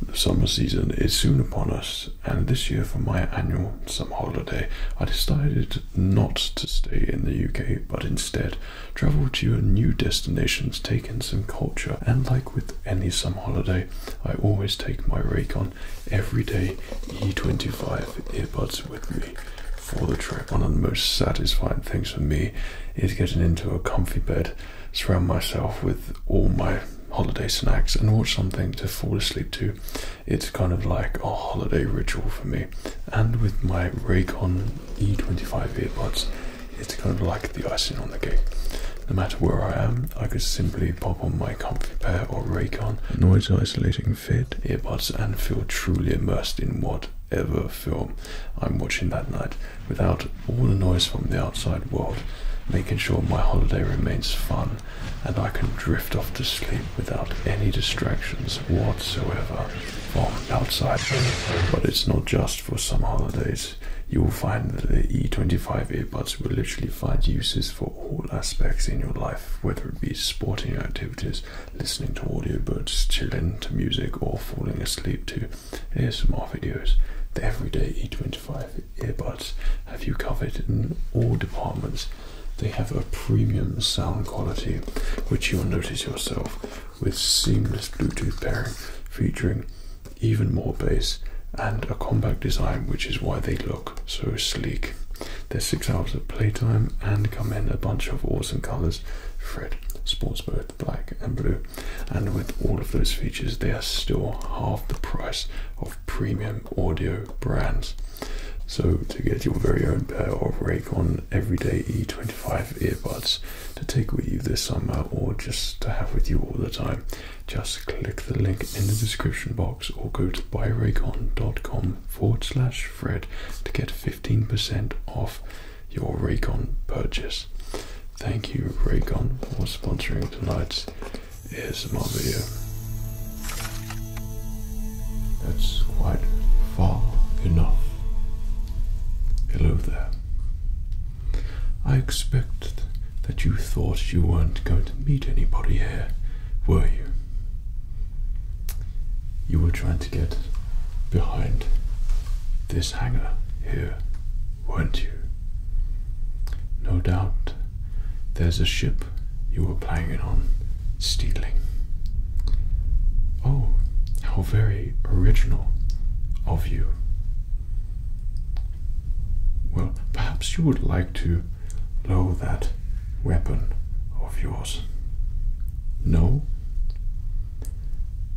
The summer season is soon upon us, and this year for my annual summer holiday, I decided not to stay in the UK but instead travel to new destinations, take in some culture, and like with any summer holiday, I always take my Raycon Everyday E25 earbuds with me for the trip. One of the most satisfying things for me is getting into a comfy bed surround myself with all my holiday snacks and watch something to fall asleep to. It's kind of like a holiday ritual for me. And with my Raycon E25 earbuds, it's kind of like the icing on the cake. No matter where I am, I can simply pop on my comfy pair or Raycon noise isolating fit earbuds and feel truly immersed in whatever film I'm watching that night without all the noise from the outside world, making sure my holiday remains fun and I can drift off to sleep without any distractions whatsoever from outside. But it's not just for summer holidays. You will find that the E25 earbuds will literally find uses for all aspects in your life, whether it be sporting activities, listening to audiobooks, chilling to music, or falling asleep to Here's some more videos. The everyday E25 Five earbuds have you covered in all departments. They have a premium sound quality, which you'll notice yourself, with seamless Bluetooth pairing featuring even more bass and a compact design, which is why they look so sleek. They're six hours of playtime and come in a bunch of awesome colors red, sports both black and blue, and with all of those features, they are still half the price of premium audio brands. So, to get your very own pair of Raycon Everyday E25 earbuds to take with you this summer or just to have with you all the time, just click the link in the description box or go to buyraycon.com forward slash Fred to get 15% off your Raycon purchase. Thank you, Raycon, for sponsoring tonight's ASMR video. That's quite far enough. Hello there. I expect that you thought you weren't going to meet anybody here, were you? You were trying to get behind this hangar here, weren't you? No doubt there's a ship you are playing on stealing. Oh, how very original of you. Well, perhaps you would like to lower that weapon of yours. No?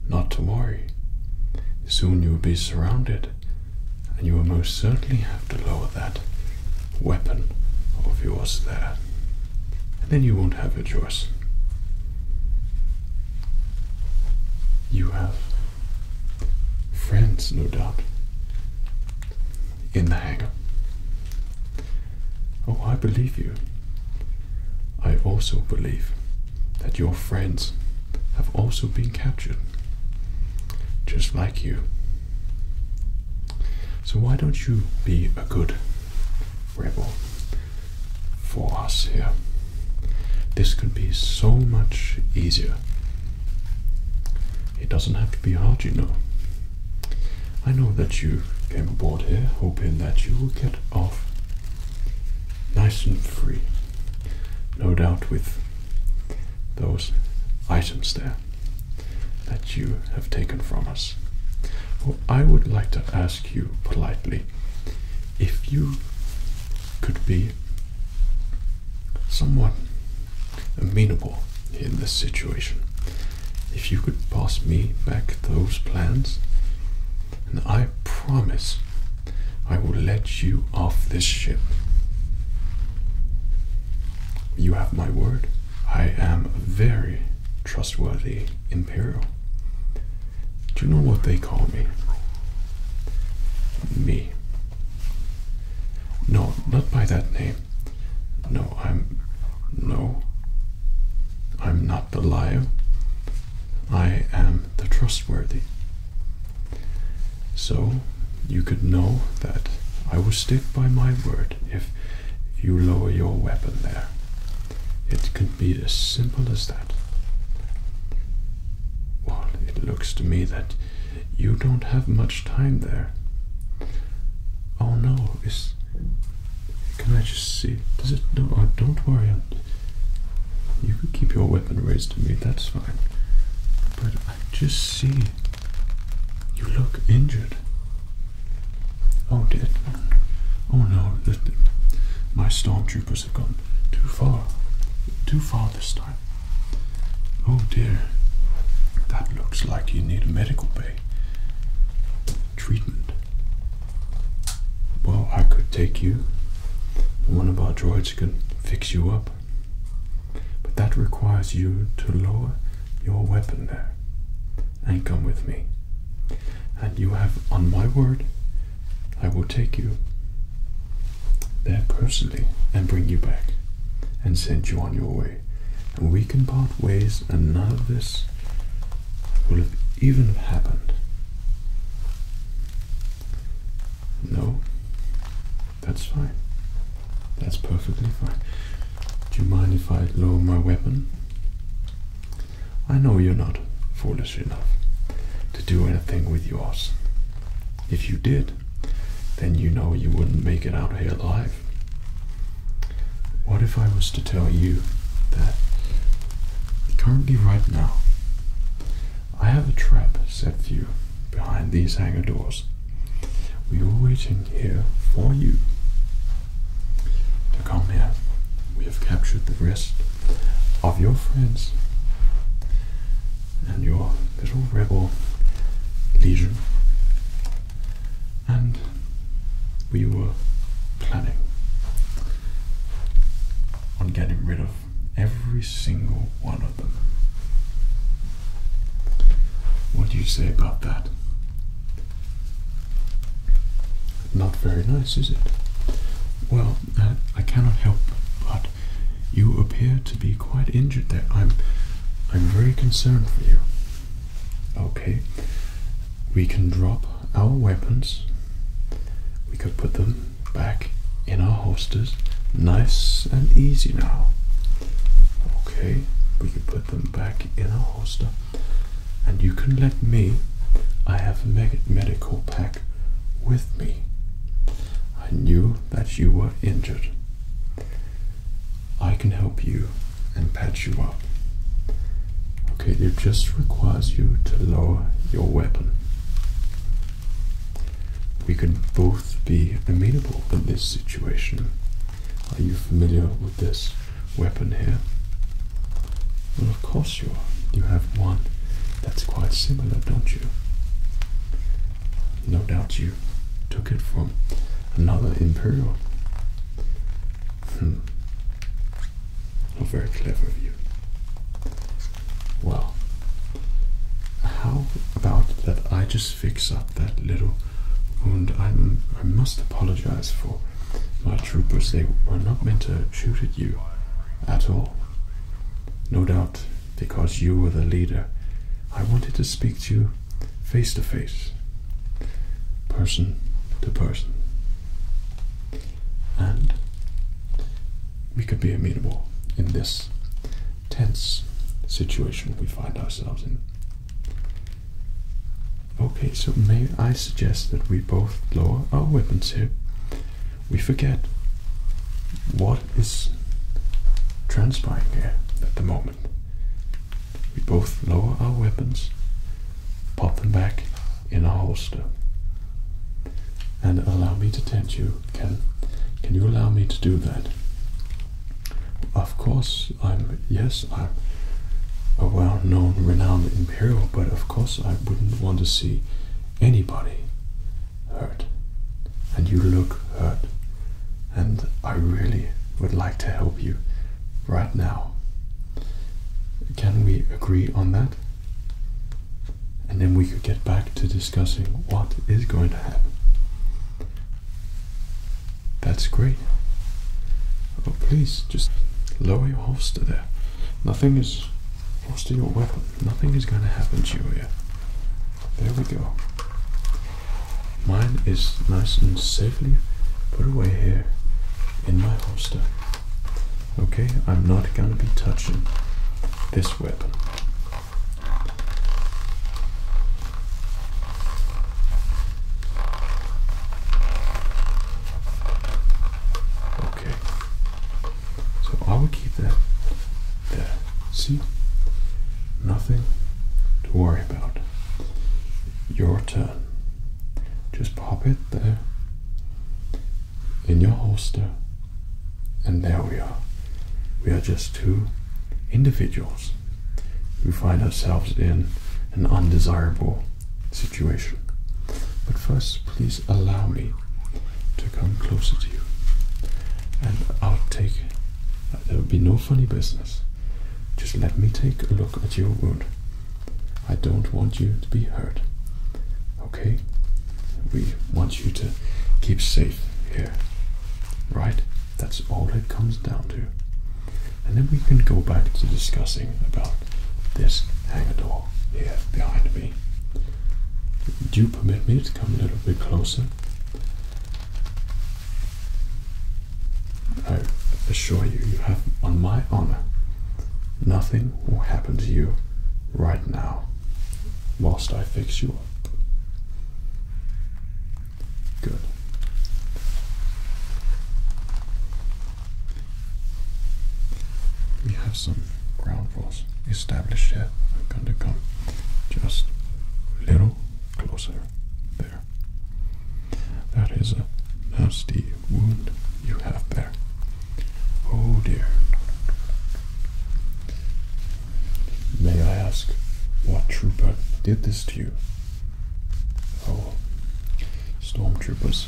Not to worry. Soon you'll be surrounded and you will most certainly have to lower that weapon of yours there. And then you won't have your choice. You have friends, no doubt, in the hangar. Oh, I believe you. I also believe that your friends have also been captured just like you. So, why don't you be a good rebel for us here? This could be so much easier. It doesn't have to be hard, you know. I know that you came aboard here hoping that you will get off nice and free. No doubt with those items there that you have taken from us. Well, I would like to ask you politely if you could be somewhat amenable in this situation. If you could pass me back those plans, and I promise I will let you off this ship. You have my word. I am a very trustworthy Imperial. Do you know what they call me? Me. No, not by that name. No, I'm. No. I'm not the liar. I am the trustworthy. So you could know that I will stick by my word if you lower your weapon there. It could be as simple as that. Well, it looks to me that you don't have much time there. Oh no, is. Can I just see? Does it. No, uh, don't worry. You can keep your weapon raised to me, that's fine. But I just see you look injured. Oh, did oh no, the, my stormtroopers have gone too far, too far this time. Oh dear, that looks like you need a medical bay treatment. Well, I could take you. One of our droids can fix you up. But that requires you to lower your weapon there and come with me. And you have, on my word, I will take you there personally and bring you back and send you on your way. And we can part ways, and none of this will have even happened. No, that's fine. That's perfectly fine. Do you mind if I lower my weapon? I know you're not foolish enough to do anything with yours. If you did, then you know you wouldn't make it out here alive. What if I was to tell you that currently, right now, I have a trap, said Few, behind these hangar doors. We were waiting here for you. To come here, we have captured the rest of your friends and your little rebel legion, and we were planning on getting rid of Every single one of them. What do you say about that? Not very nice, is it? Well, uh, I cannot help but you appear to be quite injured there. I'm I'm very concerned for you. Okay. We can drop our weapons. We could put them back in our holsters, nice and easy now. Okay, we can put them back in our holster, and you can let me. I have a med medical pack with me. I knew that you were injured. I can help you and patch you up. Okay, it just requires you to lower your weapon. We can both be amenable in this situation. Are you familiar with this weapon here? Well, of course you are. You have one that's quite similar, don't you? No doubt you took it from another Imperial. Hmm. very clever of you. Well, how about that I just fix up that little wound? i must apologize for my troopers. They were not meant to shoot at you at all. No doubt because you were the leader. I wanted to speak to you face to face, person to person. And we could be amenable in this tense situation we find ourselves in. Okay, so may I suggest that we both lower our weapons here. We forget what is transpiring here at the moment. We both lower our weapons, pop them back in our holster, and allow me to tend you can can you allow me to do that? Of course, I'm. Yes, I'm a well-known, renowned imperial, but of course I wouldn't want to see anybody hurt. And you look hurt, and I really would like to help you right now. Can we agree on that? And then we could get back to this discussing what is going to happen. That's great. Oh, please, just lower your holster there. Nothing is. Holster your weapon. Nothing is going to happen Julia. There we go. Mine is nice and safely put away here in my holster. Okay, I'm not going to be touching this weapon. Okay. So I will keep that there. See? Nothing to worry about. Your turn. Just pop it there in your holster and there we are. We are just two individuals who find ourselves in an undesirable situation. But first, please allow me to come closer to you. And I'll take, there will be no funny business. Just let me take a look at your wound. I don't want you to be hurt. Okay? We want you to keep safe here. Right? That's all it comes down to. And then we can go back to discussing about this hangar door here behind me. Do you permit me to come a little bit closer? I assure you, you have, on my honor, nothing will happen to you right now whilst I fix you up. Good. We have some ground rules established here. I'm going to come just a little closer there. That is a nasty wound you have there. Oh dear. May I ask what trooper did this to you? Oh, troopers.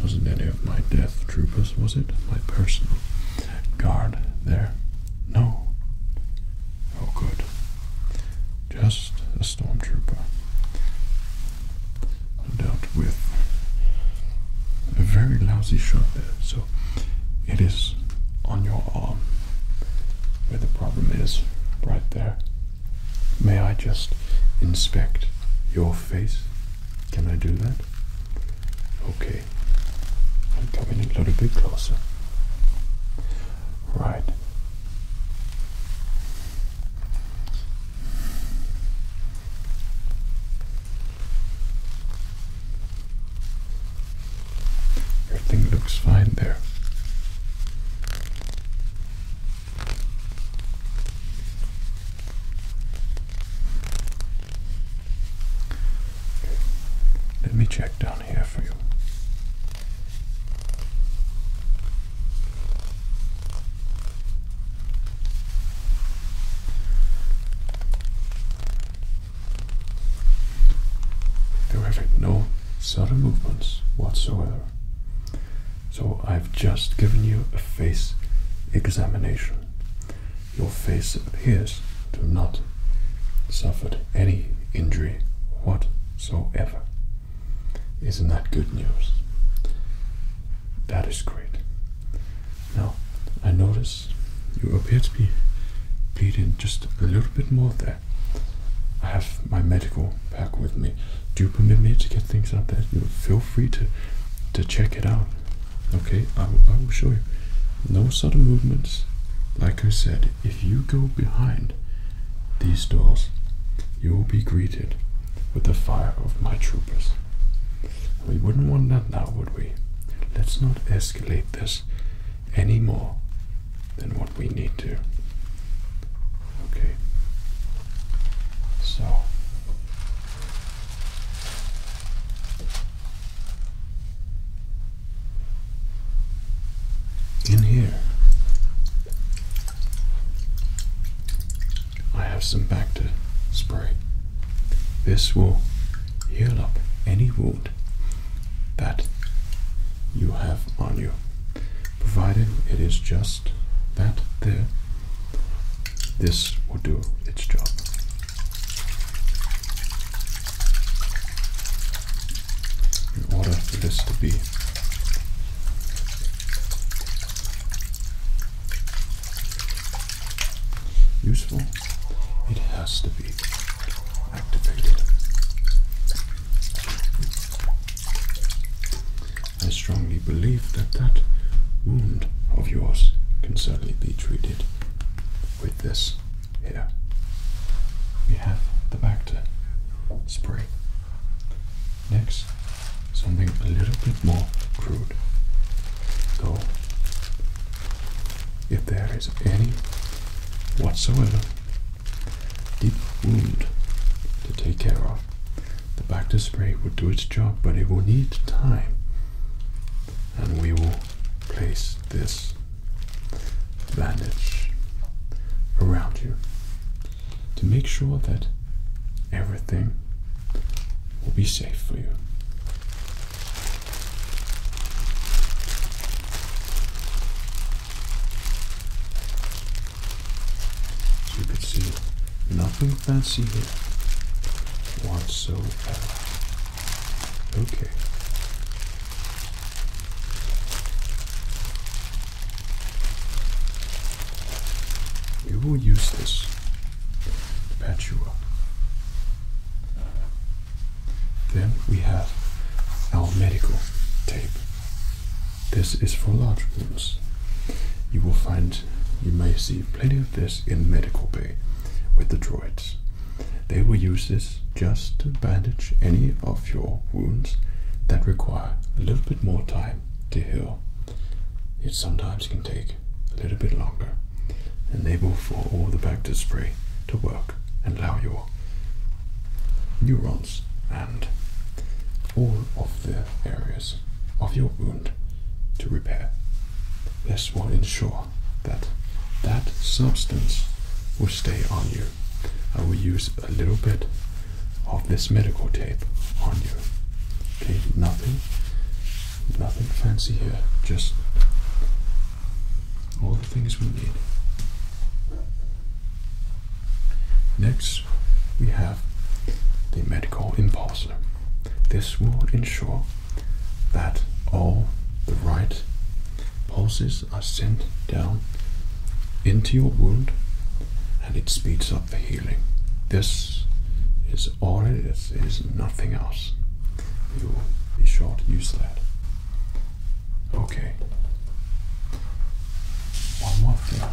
Wasn't any of my death troopers, was it? My personal guard there? No. Oh, good. Just a stormtrooper. Dealt with a very lousy shot there, it is on your arm where the problem is, right there. May I just inspect your face? Can I do that? Okay. I'm coming a little bit closer. Right. Everything looks fine there. Let me check down here for you. There Terrific, no sudden movements whatsoever. So I've just given you a face examination. Your face appears to not suffered any injury whatsoever. Isn't that good news? That is great. Now, I notice you appear to be bleeding just a little bit more there. I have my medical pack with me. Do you permit me to get things out there? feel free to to check it out. Okay, I will show you. No sudden movements. Like I said, if you go behind these doors, you will be greeted with the fire of my troopers. We wouldn't want that now, would we? Let's not escalate this any more than what we need to. Okay. So in here I have some Bacta spray. This will heal up any wound that you have on you, provided it is just that there. This will do its job. In order for this to be useful, it has to be activated. I strongly believe that that wound of yours can certainly be treated with this here. We have the Bacta spray. Next, something a little bit more crude. Go if there is any whatsoever deep wound to take care of. The back to spray will do its job, but it will need time. And we will place this bandage around you to make sure that everything will be safe for you you can see, nothing fancy here whatsoever. Okay. We will use this to patch you up. Then we have our medical tape. This is for large wounds. You will find you may see plenty of this in medical bay with the droids. They will use this just to bandage any of your wounds that require a little bit more time to heal. It sometimes can take a little bit longer, and they for all the back to spray to work and allow your neurons and all of the areas of your wound to repair. This will ensure that that substance will stay on you. I will use a little bit of this medical tape on you. Okay, nothing, nothing fancy here, just all the things we need. Next, we have the medical impulse. This will ensure that all the right pulses are sent down into your wound and it speeds up the healing. This is all it is, it is nothing else. You will be sure to use that. Okay. One more thing.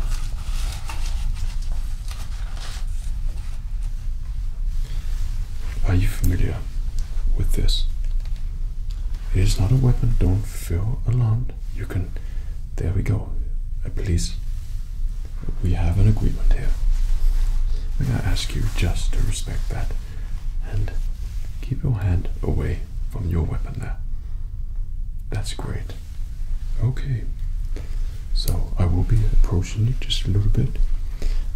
Are you familiar with this? It is not a weapon, don't feel alarmed. You can. There we go. Uh, please. We have an agreement here. I'm going to ask you just to respect that and keep your hand away from your weapon there. That's great. Okay, so I will be approaching you just a little bit.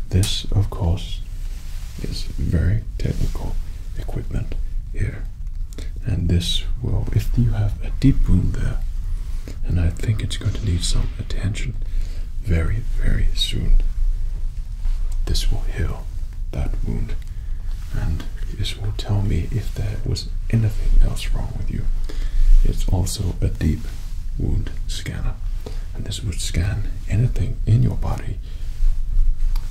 This, of course, is very technical equipment here, and this will, if you have a deep wound there, and I think it's going to need some attention very, very soon, this will heal that wound, and this will tell me if there was anything else wrong with you. It's also a deep wound scanner, and this would scan anything in your body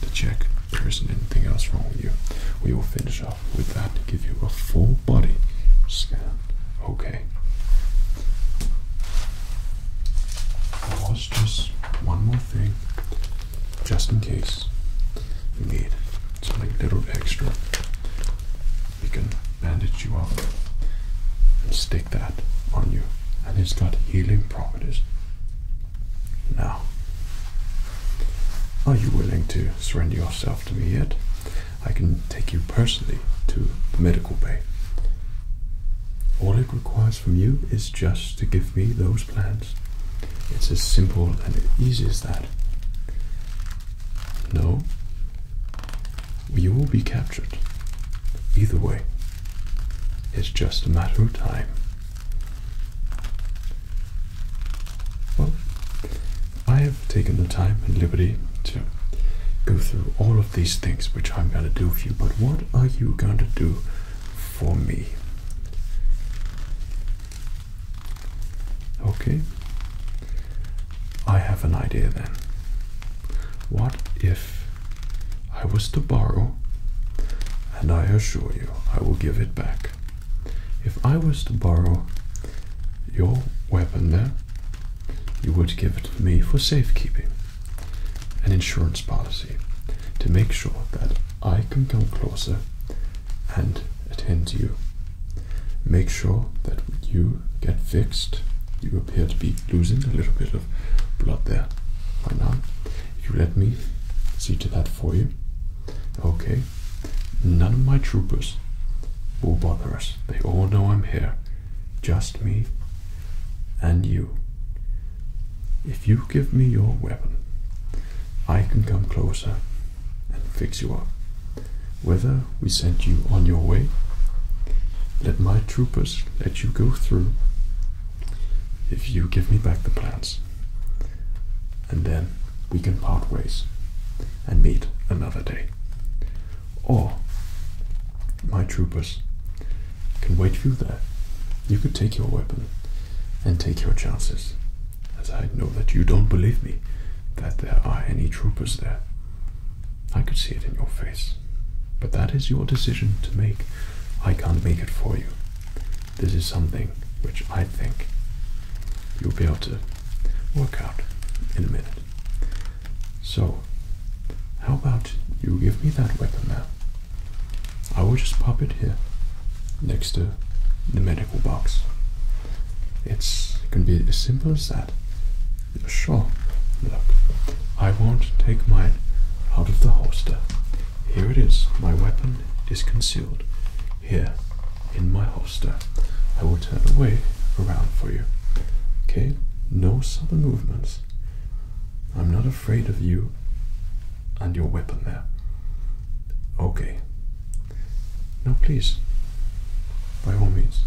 to check if there isn't anything else wrong with you. We will finish up with that to give you a full body scan. Okay just one more thing, just in case you need something a little extra. We can bandage you up and stick that on you, and it's got healing properties. Now, are you willing to surrender yourself to me yet? I can take you personally to the medical bay. All it requires from you is just to give me those plans. It's as simple and easy as that. No, you will be captured. Either way, it's just a matter of time. Well, I have taken the time and liberty to go through all of these things which I'm going to do for you, but what are you going to do for me. Okay, I have an idea then. What if I was to borrow, and I assure you I will give it back. If I was to borrow your weapon there, you would give it to me for safekeeping an insurance policy to make sure that I can come closer and attend you. Make sure that you get fixed. You appear to be losing a little bit of blood there right now. If you let me see to that for you, okay. None of my troopers will bother us. They all know I'm here. Just me and you. If you give me your weapon, I can come closer and fix you up. Whether we send you on your way, let my troopers let you go through if you give me back the plans. And then we can part ways and meet another day. Or my troopers can wait you there. You could take your weapon and take your chances, as I know that you don't believe me that there are any troopers there. I could see it in your face. But that is your decision to make. I can't make it for you. This is something which I think you'll be able to work out in a minute. So, how about you give me that weapon now? I will just pop it here next to the medical box. It's it can be as simple as that. Sure. Look, I won't take mine out of the holster. Here it is. My weapon is concealed here in my holster. I will turn away around for you. Okay? No sudden movements. I'm not afraid of you and your weapon there. Okay. Now, please, by all means,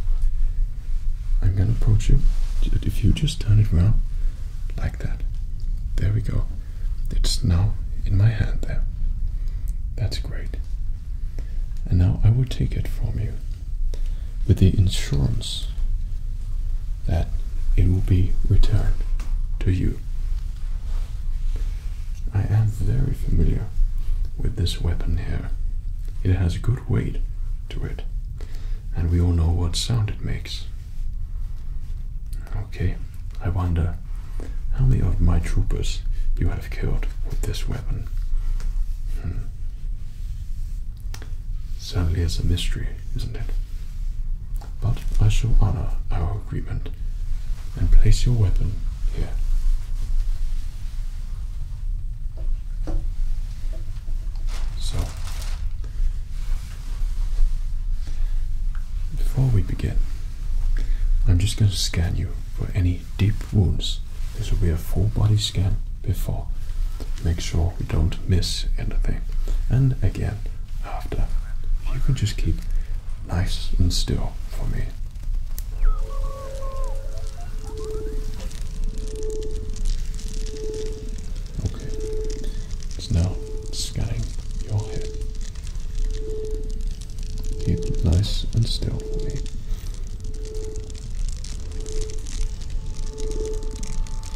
I'm going to approach you. If you just turn it round like that, there we go. It's now in my hand there. That's great. And now I will take it from you with the insurance that it will be returned to you. I am very familiar with this weapon here. It has good weight to it, and we all know what sound it makes. Okay, I wonder how many of my troopers you have killed with this weapon. Hmm. Sadly, it's a mystery, isn't it? but I shall honour our agreement and place your weapon here. So, before we begin, I'm just going to scan you for any deep wounds. This will be a full body scan before. Make sure we don't miss anything. And again, after. Ah, you can just keep nice and still for me. Okay, it's now scanning your head. Keep nice and still for me.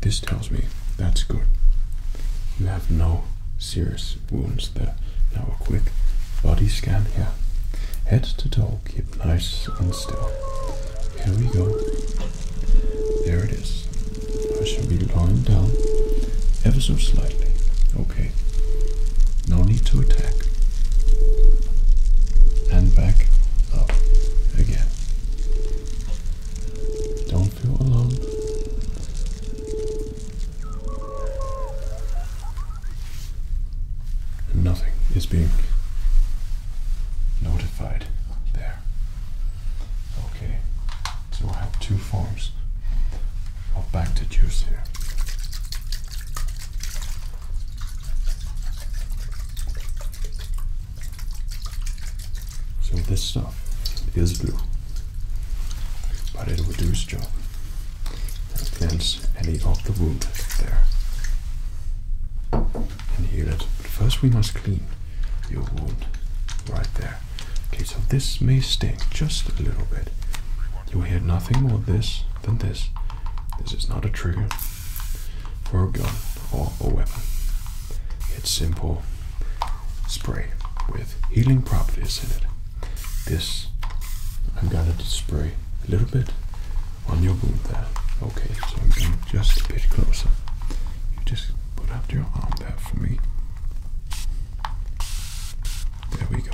This tells me that's good. You have no serious wounds there. Now a quick body scan here. Head to toe, keep nice and still. Here we go. There it is. I shall be lying down ever so slightly. Okay. No need to attack. And back up again. Don't nothing is being notified there. Okay, so I have two forms of Bactijuice here. So this stuff is blue, but it will do its job and cleanse any of the wound there and heal it. But first we must clean your wound right there. Okay, so this may sting just a little bit. You will hear nothing more this than this. This is not a trigger for a gun or a weapon. It's simple spray with healing properties in it. This I'm going to spray a little bit on your wound there. Okay, so I'm going just a bit closer. You just put up your arm there for me. There we go.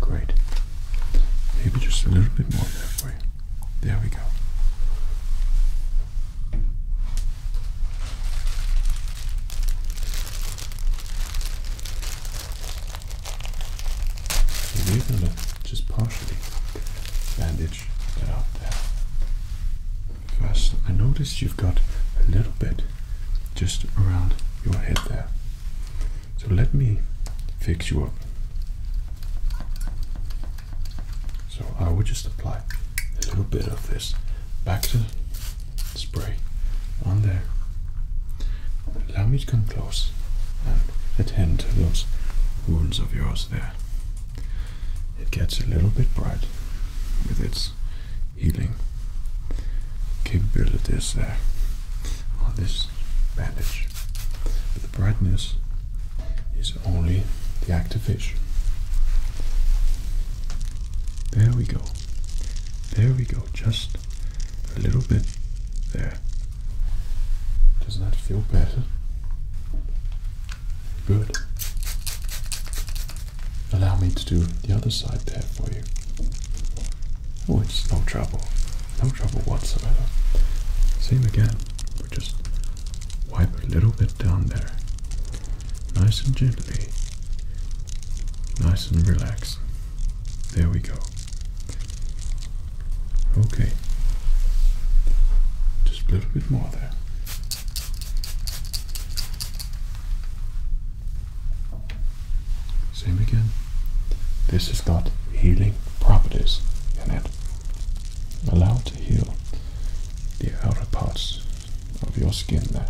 Great. Maybe just a little bit more there for you. There we go. We're gonna just partially band First, I noticed you've got a little bit just around your head there. So let me fix you up. So I will just apply a little bit of this back to spray on there. Allow me to come close and attend to those wounds of yours there it gets a little bit bright with its healing capabilities there on this bandage. But the brightness is only the vision. There we go. There we go. Just a little bit there. Does that feel better? Good. Allow me to do the other side there for you. Oh, it's no trouble. No trouble whatsoever. Same again. just wipe a little bit down there. Nice and gently. Nice and relaxed. There we go. Okay. Just a little bit more. Same again. This has got healing properties in it. Allow to heal the outer parts of your skin there.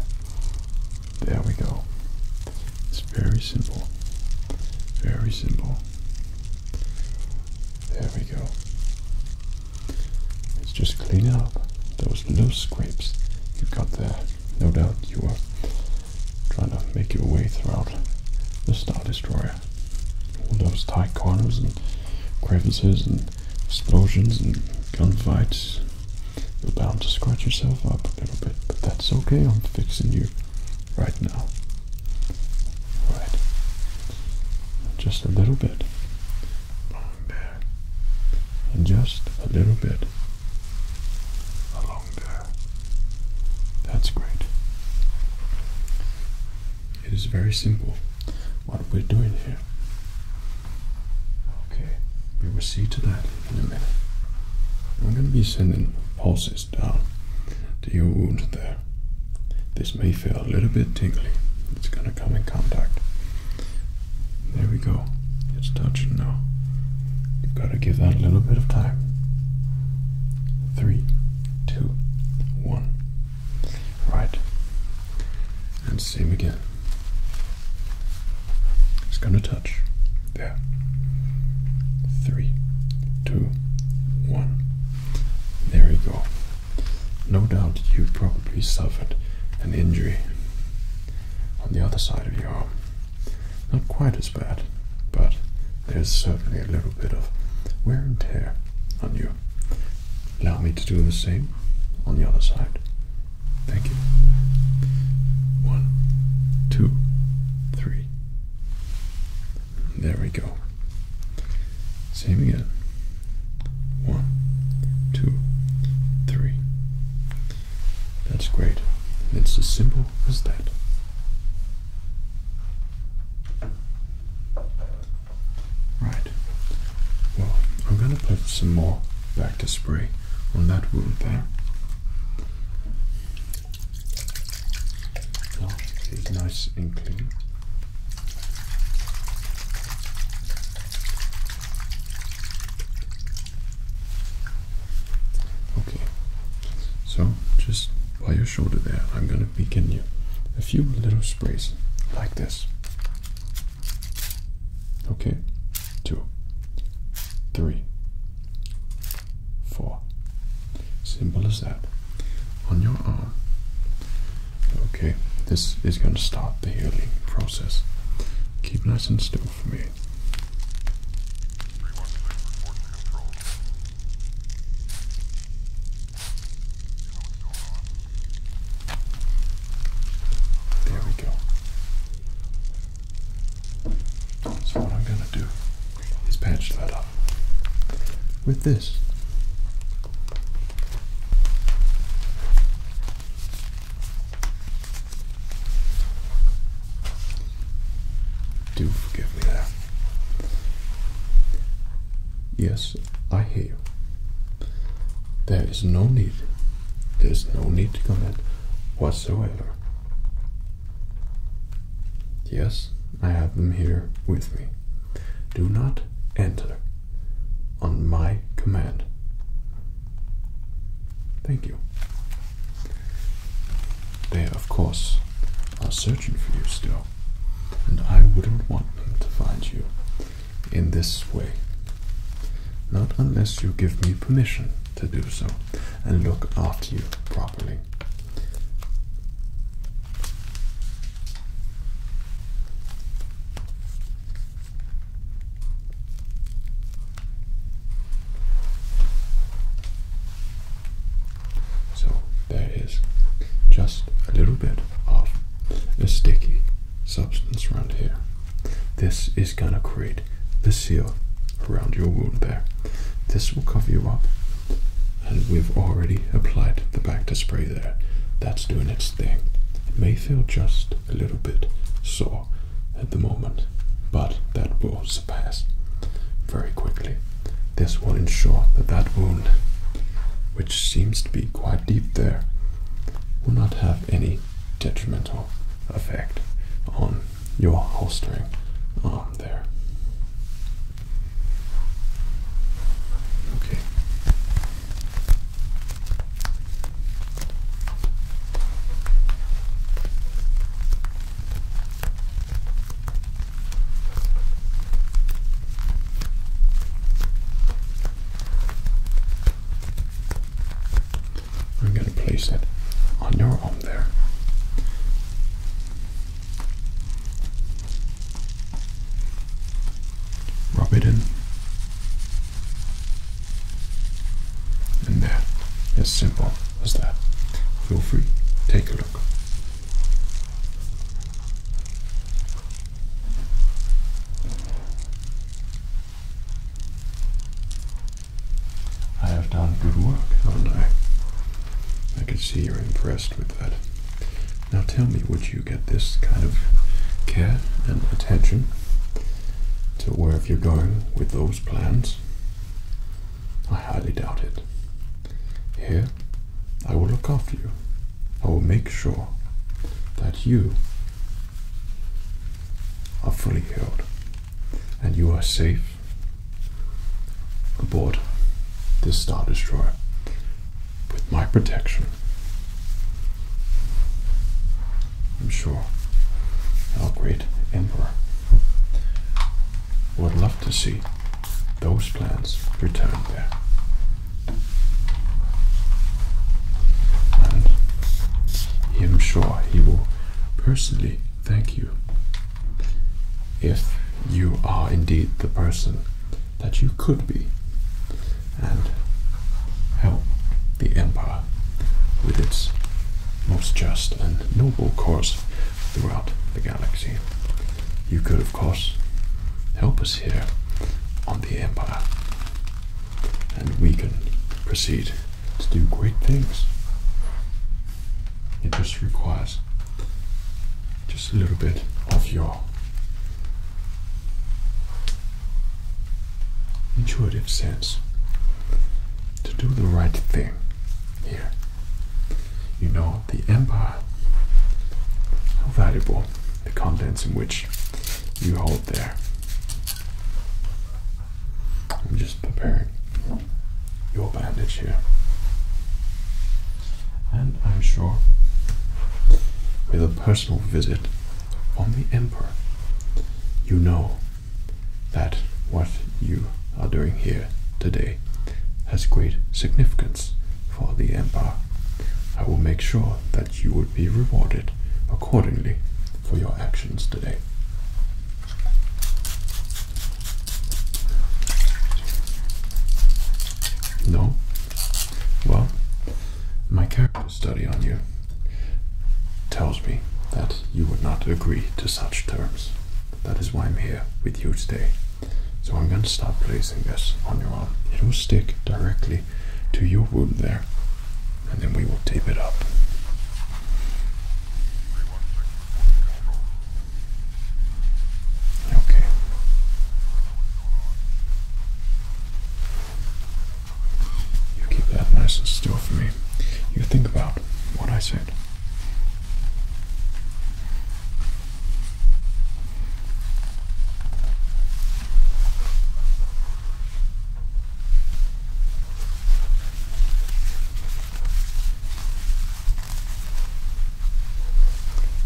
There we go. It's very simple. Very simple. There we go. It's just clean up. Those loose scrapes you've got there. No doubt you were trying to make your way throughout the Star Destroyer. All those tight corners and crevices and explosions and gunfights. You're bound to scratch yourself up a little bit, but that's okay. I'm fixing you right now. Right. Just a little bit. Along there. And just a little bit. Along there. That's great. It is very simple what we're doing here. Okay, we will see to that in a minute. I'm going to be sending pulses down to your wound there. This may feel a little bit tingly. It's going to come in contact. There we go. It's touching now. You've got to give that a little bit of time. Three, two, one. Right. And same again. It's going to touch. There. Three, two, one. There we go. No doubt you probably suffered an injury on the other side of your arm. Not quite as bad, but there's certainly a little bit of wear and tear on you. Allow me to do the same on the other side. Thank you. One, two, three. There we go. Same again. One, two, three. That's great. It's as simple as that. Right. Well, I'm going to put some more back to spray on that wound there. it's nice and clean. Okay, so just by your shoulder there, I'm going to begin you a few little sprays like this. Okay, two, three, four. Simple as that. On your arm, Okay, this is going to start the healing process. Keep nice and still for me. There we go. So what I'm going to do is patch that up with this. Do forgive me there. Yes, I hear you. There is no need. There's no need to comment whatsoever. Yes, I have them here with me. Do not enter on my command. Thank you. They, of course, are searching for you still, and I wouldn't want them to find you in this way. Not unless you give me permission to do so and look after you properly. So there is just a little bit of a sticky substance around here. This is going to create the seal around your wound there. This will cover you up and we've already applied the back to spray there. That's doing its thing. It may feel just a little bit sore at the moment, but that will surpass very quickly. This will ensure that that wound, which seems to be quite deep there, will not have any detrimental effect on your holstering arm there. Okay, I'm going to place it on your arm there. Rub it in. And there, as simple as that. Feel free, take a look. I have done good work, haven't I? I can see you're impressed with that. Now tell me, would you get this kind of care and attention to wherever you're going with those plans? I highly doubt it. Here, I will look after you. I will make sure that you are fully healed and you are safe aboard this Star Destroyer with my protection. I'm sure our great emperor would love to see those plans returned there. And I am sure he will personally thank you if you are indeed the person that you could be and help the Empire with its most just and noble cause throughout the galaxy. You could, of course, help us here on the Empire, and we can proceed to do great things. It just requires just a little bit of your intuitive sense to do the right thing here. You know the empire, how valuable the contents in which you hold there. I'm just preparing your bandage here and I'm sure with a personal visit from the Emperor, you know that what you are doing here today has great significance for the Empire. I will make sure that you will be rewarded accordingly for your actions today. No? Well, my character study on you tells me that you would not agree to such terms. That is why I'm here with you today. So I'm going to start placing this on your arm. It will stick directly to your wound there, and then we will tape it up. Okay. You keep that nice and still for me. You think about what I said.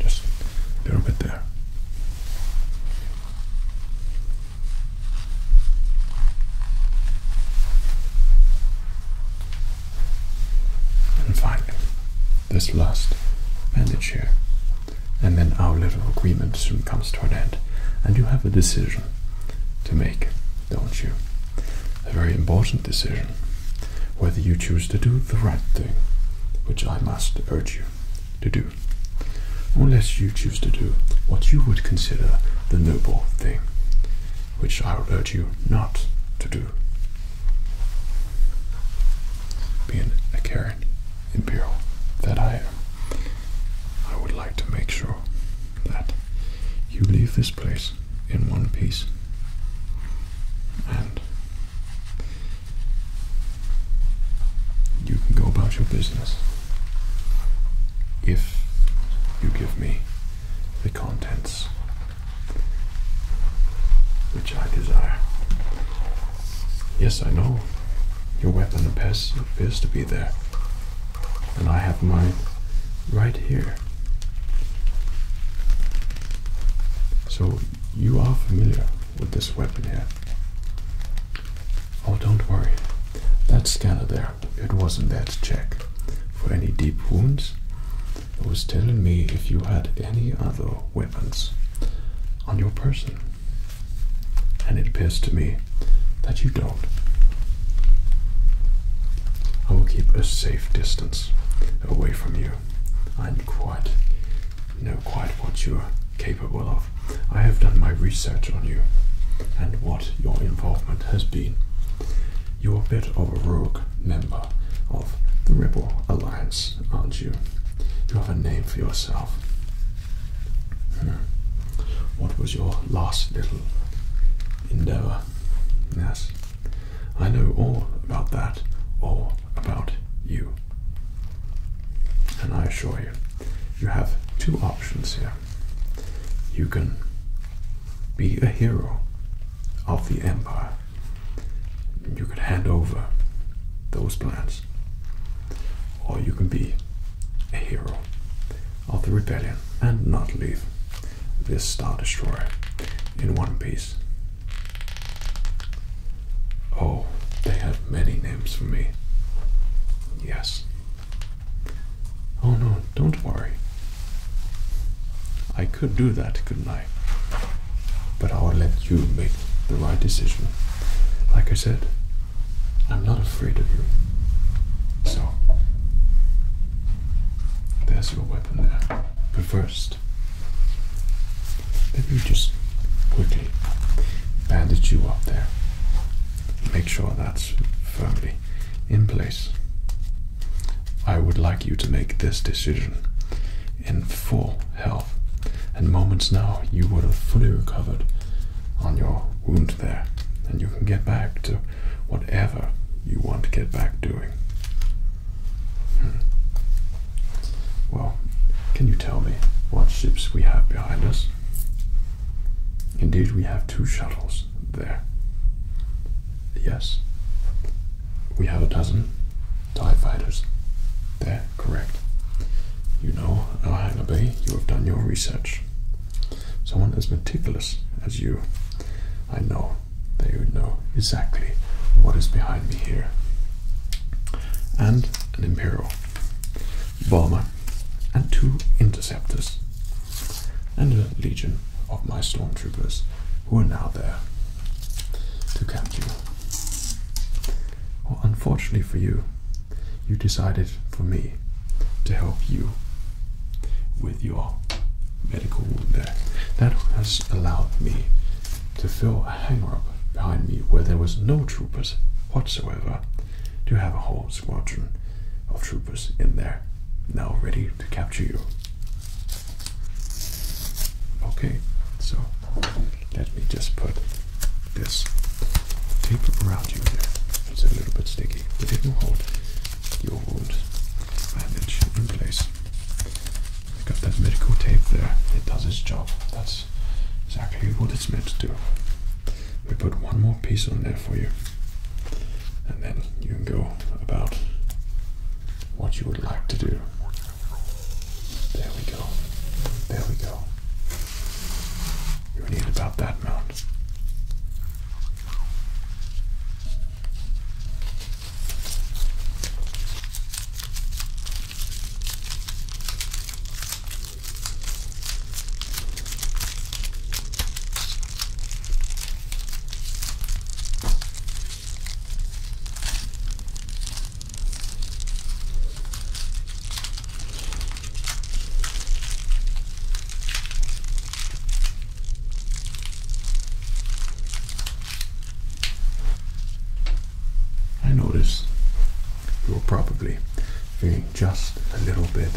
Just a little bit there. And finally, this last bandage here. And then our little agreement soon comes to an end. And you have a decision to make, don't you? A very important decision. Whether you choose to do the right thing, which I must urge you to do unless you choose to do what you would consider the noble thing, which I would urge you not to do. Being a Karen Imperial that I am, I would like to make sure that you leave this place in one piece and you can go about your business if you give me the contents which I desire. Yes, I know. Your weapon appears, appears to be there, and I have mine right here. So you are familiar with this weapon here. Oh, don't worry. That scanner there, it wasn't that check for any deep wounds. It was telling me if you had any other weapons on your person. And it appears to me that you don't. I will keep a safe distance away from you. I'm quite know quite what you're capable of. I have done my research on you and what your involvement has been. You're a bit of a rogue member of the Rebel Alliance, aren't you? You have a name for yourself. Hmm. What was your last little endeavor? Yes, I know all about that. All about you. And I assure you, you have two options here. You can be a hero of the empire, and you could hand over those plans, or you can be a hero of the rebellion and not leave this Star Destroyer in one piece. Oh, they have many names for me. Yes. Oh no, don't worry. I could do that, couldn't I? But I'll let you make the right decision. Like I said, I'm not afraid of you. So, there's your weapon there. But first, let me just quickly bandage you up there. Make sure that's firmly in place. I would like you to make this decision in full health. In moments now, you would have fully recovered on your wound there, and you can get back to whatever you want to get back doing. Hmm. Well, can you tell me what ships we have behind us? Indeed, we have two shuttles there. Yes. We have a dozen TIE fighters there, correct. You know, Alhanga uh, Bay, you have done your research. Someone as meticulous as you, I know that you know exactly what is behind me here. And an Imperial Arrow bomber, and two interceptors, and a legion of my stormtroopers who are now there to capture you. Well, unfortunately for you, you decided for me to help you with your medical wound there. That has allowed me to fill a hangar-up behind me where there was no troopers whatsoever to have a whole squadron of troopers in there now ready to capture you. Okay, so let me just put this tape around you there. It's a little bit sticky, but it will hold your wound bandage in place. I got that medical tape there. It does its job. That's exactly what it's meant to do. We put one more piece on there for you, and then you can go about what you would like to do. There we go. There we go. You need about that amount. I notice you're probably feeling just a little bit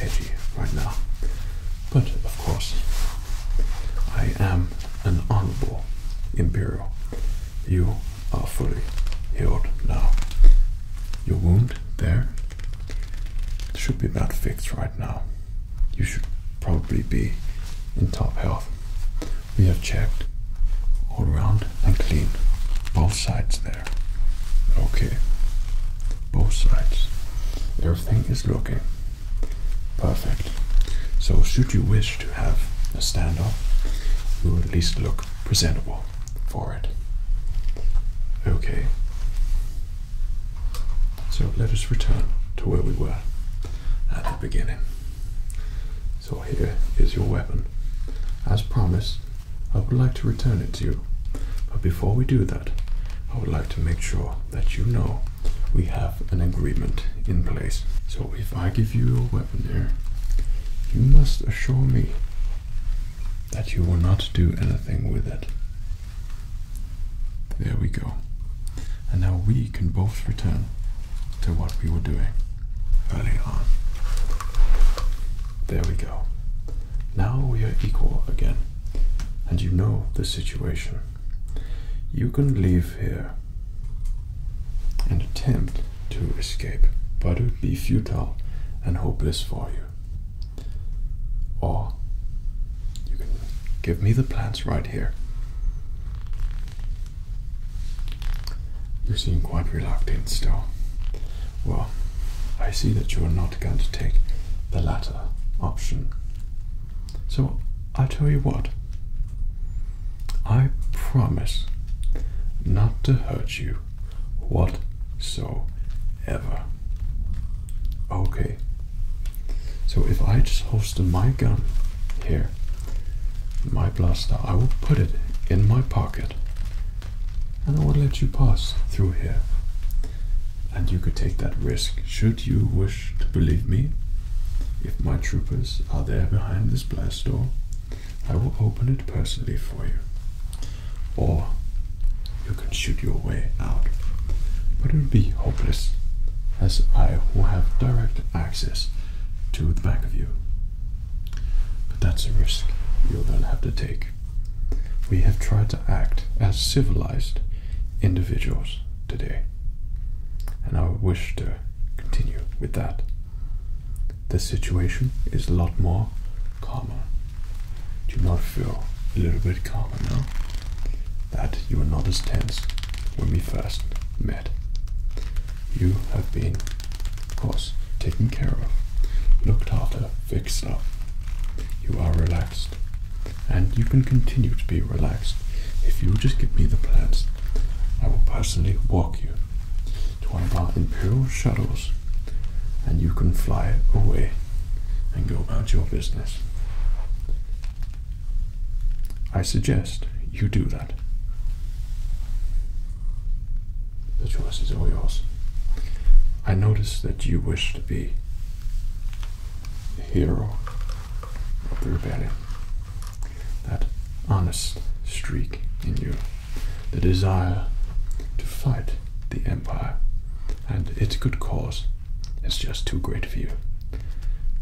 edgy right now. But of course, I am an honorable imperial. You are fully healed now. Your wound there should be about fixed right now. You should probably be in top health we have checked all round and clean both sides there. Okay, both sides. Everything is looking perfect. So, should you wish to have a standoff, you will at least look presentable for it. Okay. So let us return to where we were at the beginning. So here is your weapon. As promised, I would like to return it to you. But before we do that, I would like to make sure that you know we have an agreement in place. So if I give you your weapon here, you must assure me that you will not do anything with it. There we go. And now we can both return to what we were doing early on. There we go. Now we are equal again, and you know the situation. You can leave here and attempt to escape, but it would be futile and hopeless for you. Or you can give me the plants right here. You seem quite reluctant still. Well, I see that you are not going to take the latter option. So I tell you what, I promise not to hurt you whatsoever. Okay. So if I just holster my gun here, my blaster, I will put it in my pocket and I would let you pass through here. And you could take that risk should you wish to believe me. If my troopers are there behind this blast door, I will open it personally for you. Or you can shoot your way out. But it would be hopeless, as I will have direct access to the back of you. But that's a risk you're going to have to take. We have tried to act as civilized individuals today, and I wish to continue with that. The situation is a lot more calmer. Do you not feel a little bit calmer now? That you were not as tense when we first met you have been, of course, taken care of, looked after, fixed up. You are relaxed. And you can continue to be relaxed. If you will just give me the plans, I will personally walk you to one of our Imperial shuttles and you can fly away and go about your business. I suggest you do that. The choice is all yours. I notice that you wish to be the hero of the rebellion. That honest streak in you, the desire to fight the empire and its good cause is just too great for you.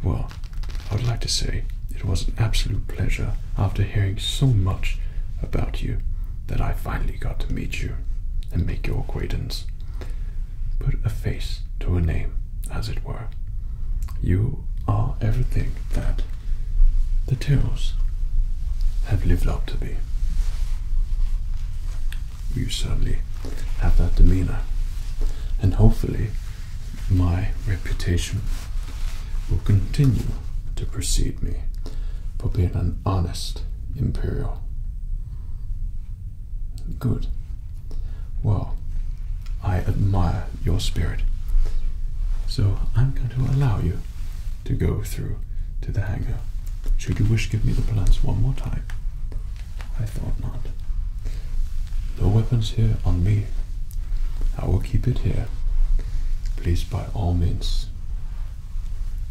Well, I would like to say it was an absolute pleasure after hearing so much about you that I finally got to meet you and make your acquaintance. Put a face to a name, as it were. You are everything that the Tyrrells have lived up to be. You certainly have that demeanor, and hopefully, my reputation will continue to precede me, for being an honest imperial. Good. Well, I admire your spirit. So I'm going to allow you to go through to the hangar. Should you wish, give me the plans one more time. I thought not. No weapons here on me. I will keep it here. Please by all means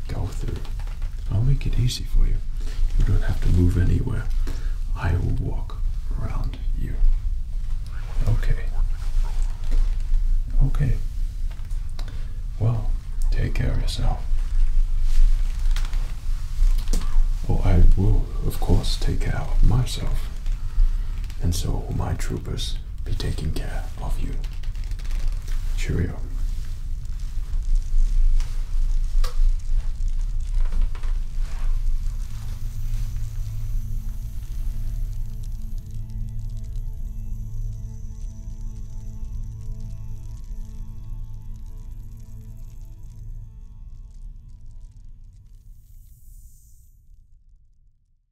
go through. I'll make it easy for you. You don't have to move anywhere. I will walk around you. Okay. Okay. Well, take care of yourself. Well, I will, of course, take care of myself, and so will my troopers be taking care of you. Cheerio.